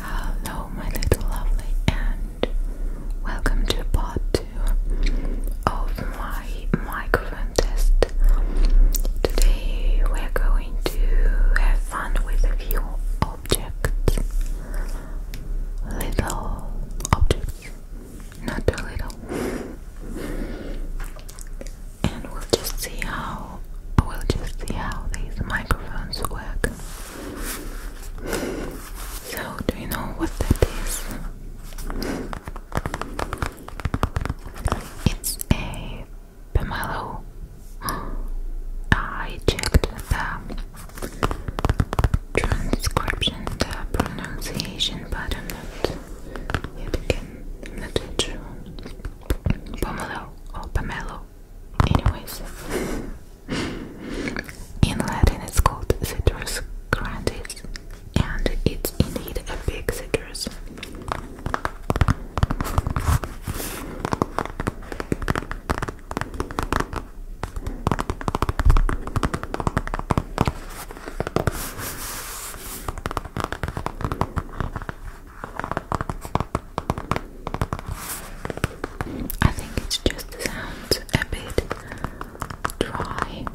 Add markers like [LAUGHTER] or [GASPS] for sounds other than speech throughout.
Hello, my little lovely, and welcome to part two of my microphone test. Today we're going to have fun with a few objects. Little objects, not too little and we'll just see how we'll just see how these microphones work. So, do you know what that is? It's a pomelo. [GASPS] I checked the transcription, the pronunciation, but I'm not yet Pomelo or oh, pomelo. Anyways. in Latin it's called citrus grandis and it's indeed a big citrus. I think it's just sounds a bit dry,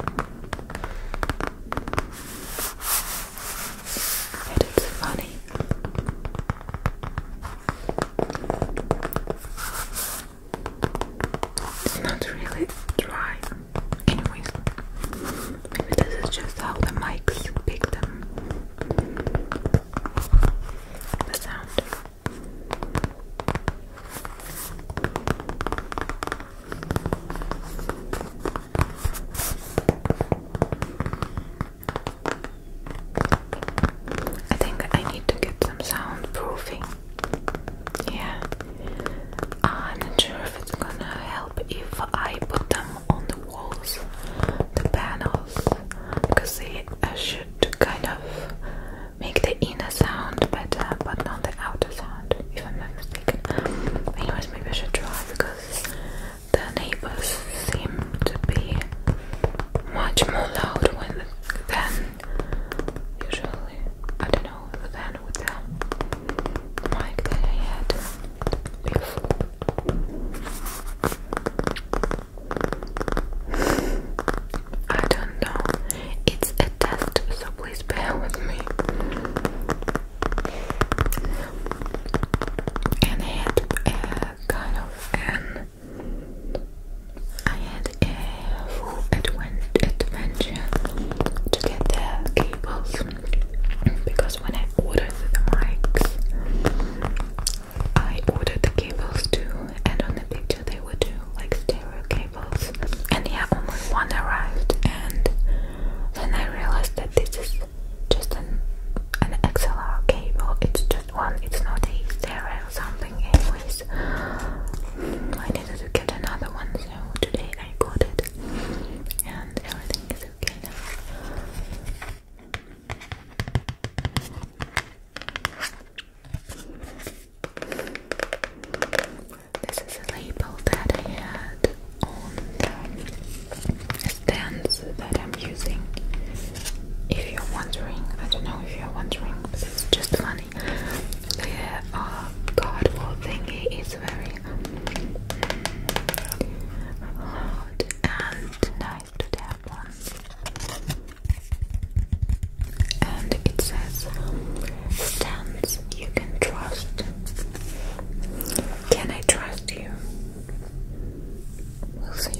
it's funny. It's not really dry anyways this is just how the mics pick them the sound I think I need to get some soundproofing yeah. I'm not sure if it's gonna help if I put them on the walls, the panels, because they uh, should kind of make the inner sound better, but not the outer sound, if I'm not mistaken. Anyways, maybe I should try because the neighbors seem to be much more loud when than usually. I don't know. I don't know. It's a test, so please bear with me. And had a kind of an I had had adventure to get the cables because when I ordered the mics, I ordered the cables too, and on the picture they were two like stereo cables, and yeah, only one arrived, and then I realized that this is just an an XLR cable. It's just one. It's not a stereo something. Anyways, I needed to get another one, so today I got it and everything is okay now. This is a label that I had on the stands that I'm using. If you're wondering, I don't know if you're wondering, but it's just funny actually. Oh the uh, thingy is very um, and nice to tap on. And it says stands you can trust. Can I trust you? We'll see.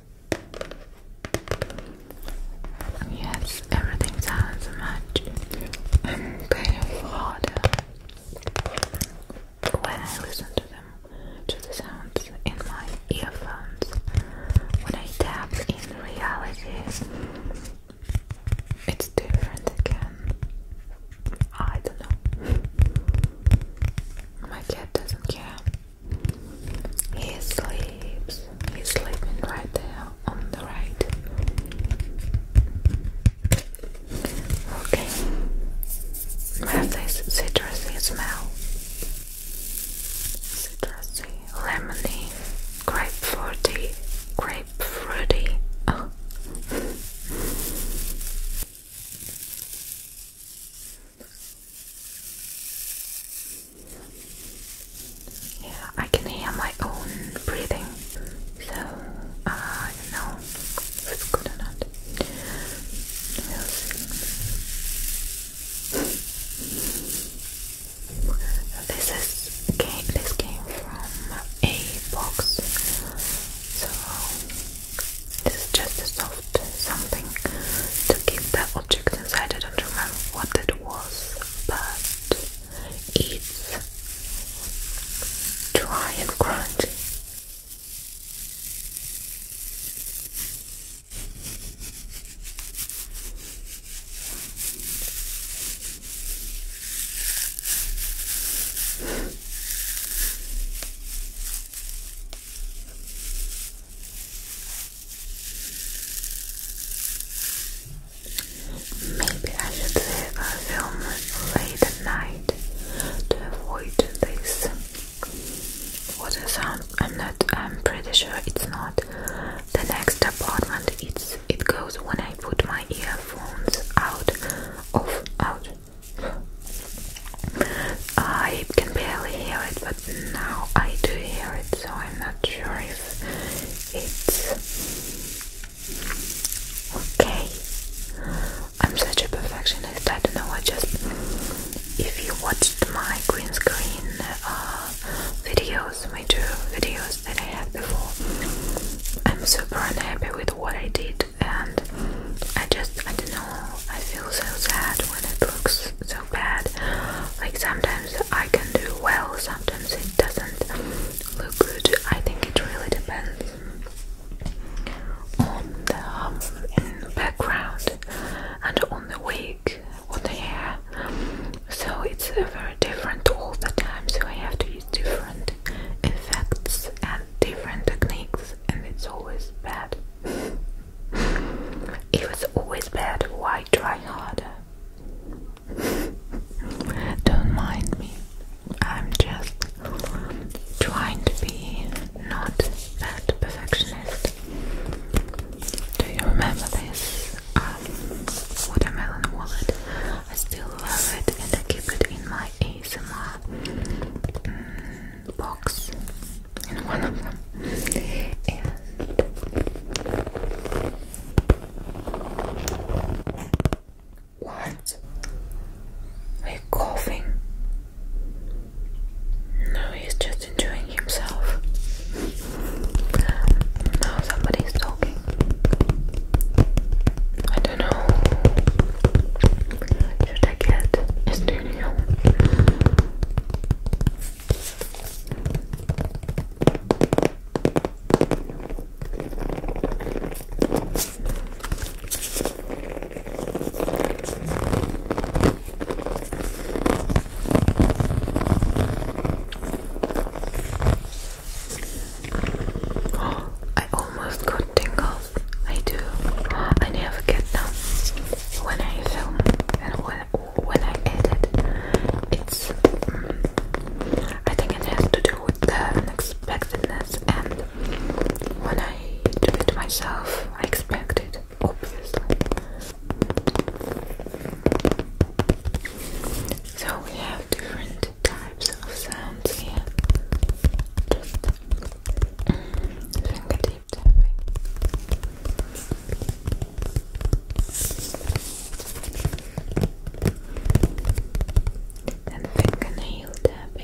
Yes, everything sounds much better harder when I listen to them, to the sounds in my earphones. When I tap in reality, it's different again. I don't know. My cat doesn't care. He sleeps. He's sleeping right there on the right. Okay. Have citrusy smell. Citrusy, lemony, grapefruity, grapefruity. Oh. [LAUGHS] Yeah, I can hear my own breathing, so uh, know it's good or not. We'll see. [LAUGHS] This is came. This came from a box, so this is just a soft something to keep that object inside. I don't remember what it was, but it's dry and crunchy. Maybe I should save a film late at night to avoid this. What a sound! I'm not. I'm pretty sure it's not. The next apartment. It's. It goes when I put my earphones out. Off. Out. I can barely hear it, but now I do hear it, so I'm not sure if it's okay. I'm such a perfectionist, I don't know. I just, if you watched my green screen uh, videos, my two videos that I had before, I'm super unhappy with what I did and I just I don't know I feel so sad when it looks so bad like sometimes I can do well sometimes it doesn't look good I think it really depends on the um, background and on the wig on the hair so it's a very different all the time so I have to use different effects and different techniques and it's always bad. [LAUGHS] It was always bad, why try harder? [LAUGHS] Don't mind me. I'm just trying to be not that perfectionist. Do you remember this um, watermelon wallet? I still love it and I keep it in my. ASMR um, mm, box in one of them. what? Are you coughing? No, he's just enjoying himself. Now somebody's talking. I don't know. Yo te get studio. [GASPS] I almost got tingles. I do. I never get them when I film and when when I edit. It's. Mm, I think it has to do with the unexpectedness, and when I do it myself, I expect it obviously. So we have different different types of sounds here. Just mm, um, fingertip tapping. And fingernail tapping.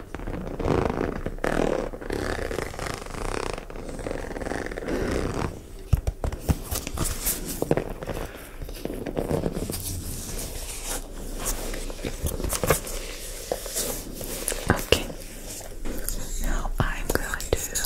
Okay, now I'm going to brush.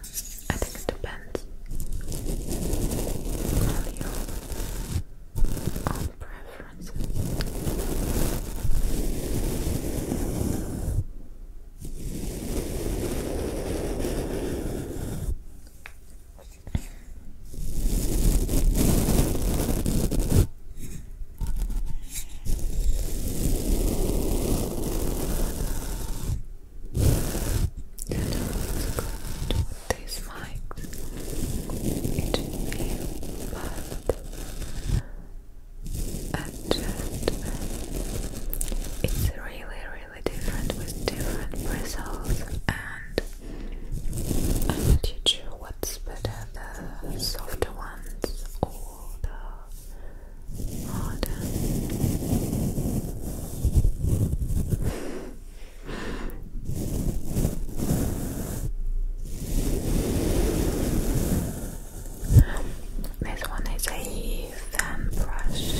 I think it depends on your own preferences good with these mics. It feels And uh, it's really, really different with different bristles. And I'm not sure what's better the softer ones or the harder. This one is a fan brush.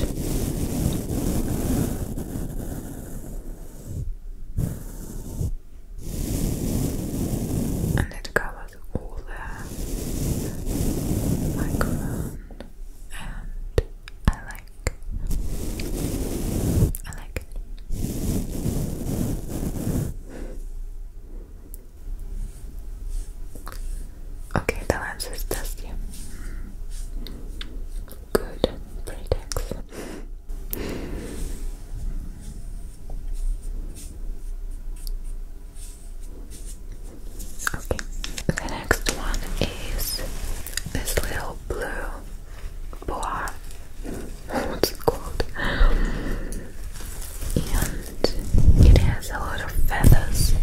And it covers all the microphone and I like I like it. Okay, the lens is dusty. Good, pretext. Okay, the next one is this little blue boa. What's it called? And it has a lot of feathers.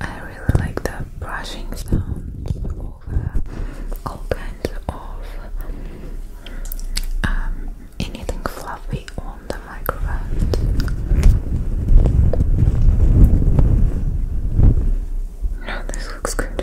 I really like the brushing sound of all kinds of um, anything fluffy on the microphone. this looks good.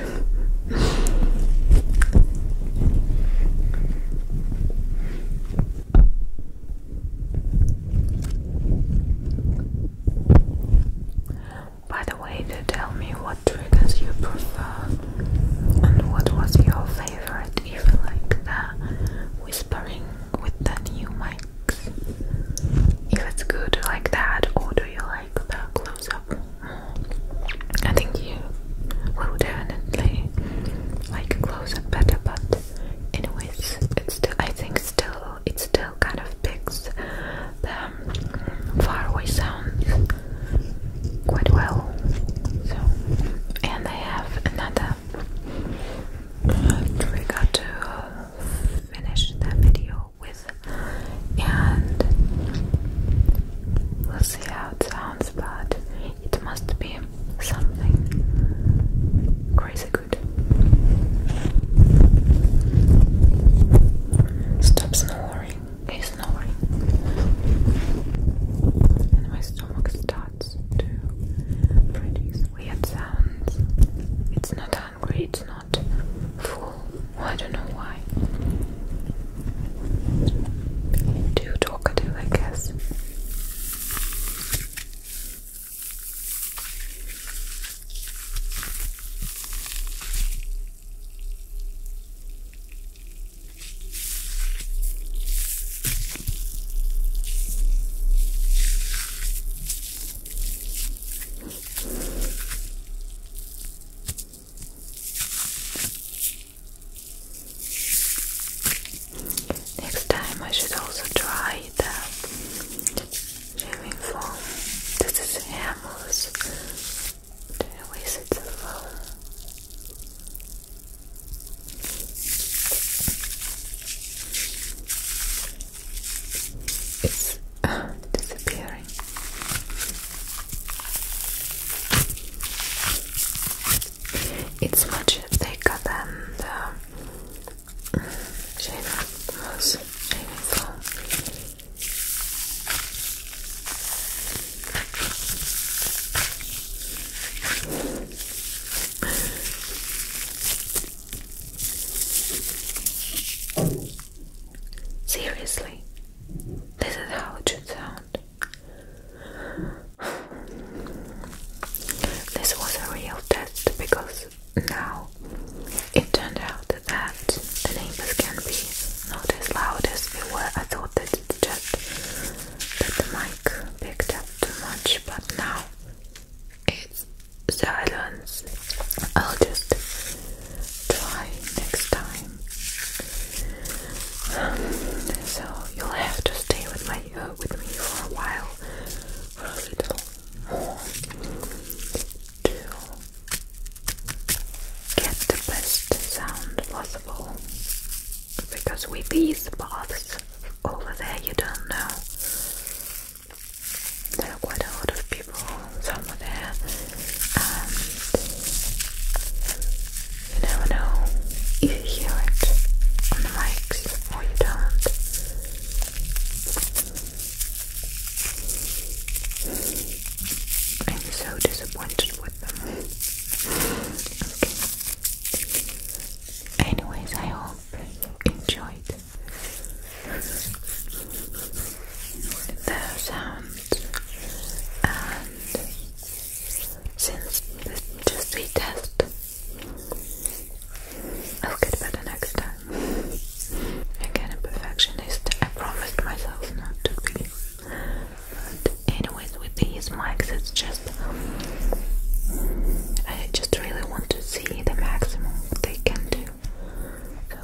By the way, to tell me what triggers you prefer and what was your favorite, even like the whispering with the new mics? If it's good like that, or do you like the close up I think you will definitely like close up better, but anyways, it's still, I think still it still kind of picks the faraway sounds quite well. So, and I have another uh, we got to finish the video with and we'll see how it sounds but it must be something crazy good stop snoring, he's snoring and my stomach starts to produce weird sounds. It's not hungry, it's not full. I don't know why. Too talkative, I guess. Next time, I should also try the shaving foam. This is Hamels. Always, it's foam. It's uh, disappearing. It's much thicker than the shaver shaving foam. Seriously, this is how it should sound. This was a real test because now it turned out that the neighbors can be not as loud as we were otherwise that it's just that the mic picked up too much, but now it's silence. I'll just try next time. [SIGHS] so you'll have to stay with my uh, with me for a while, for a little more, get the best sound possible because with these baths over there you don't know there are quite a lot of people somewhere there and you never know you hear it on the mics or you don't I'm so disappointed with. Anyways, I hope you enjoyed the sounds and since this is just a test, I'll get better next time. Again, a perfectionist, I promised myself not to be. But anyways, with these mics, it's just I just really want to see the maximum they can do. So.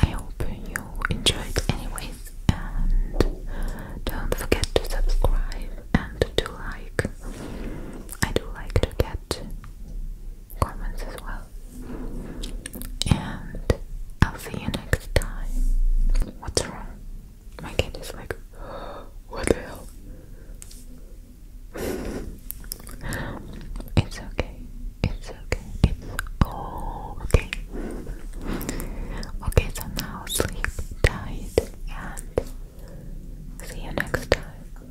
I hope you enjoyed anyways and don't forget to subscribe and to like I do like to get comments as well. And I'll see you next time. What's wrong? My cat is like, [GASPS] what the hell? [LAUGHS] it's okay. It's okay. It's okay. Okay, so now sleep tight and see you next time.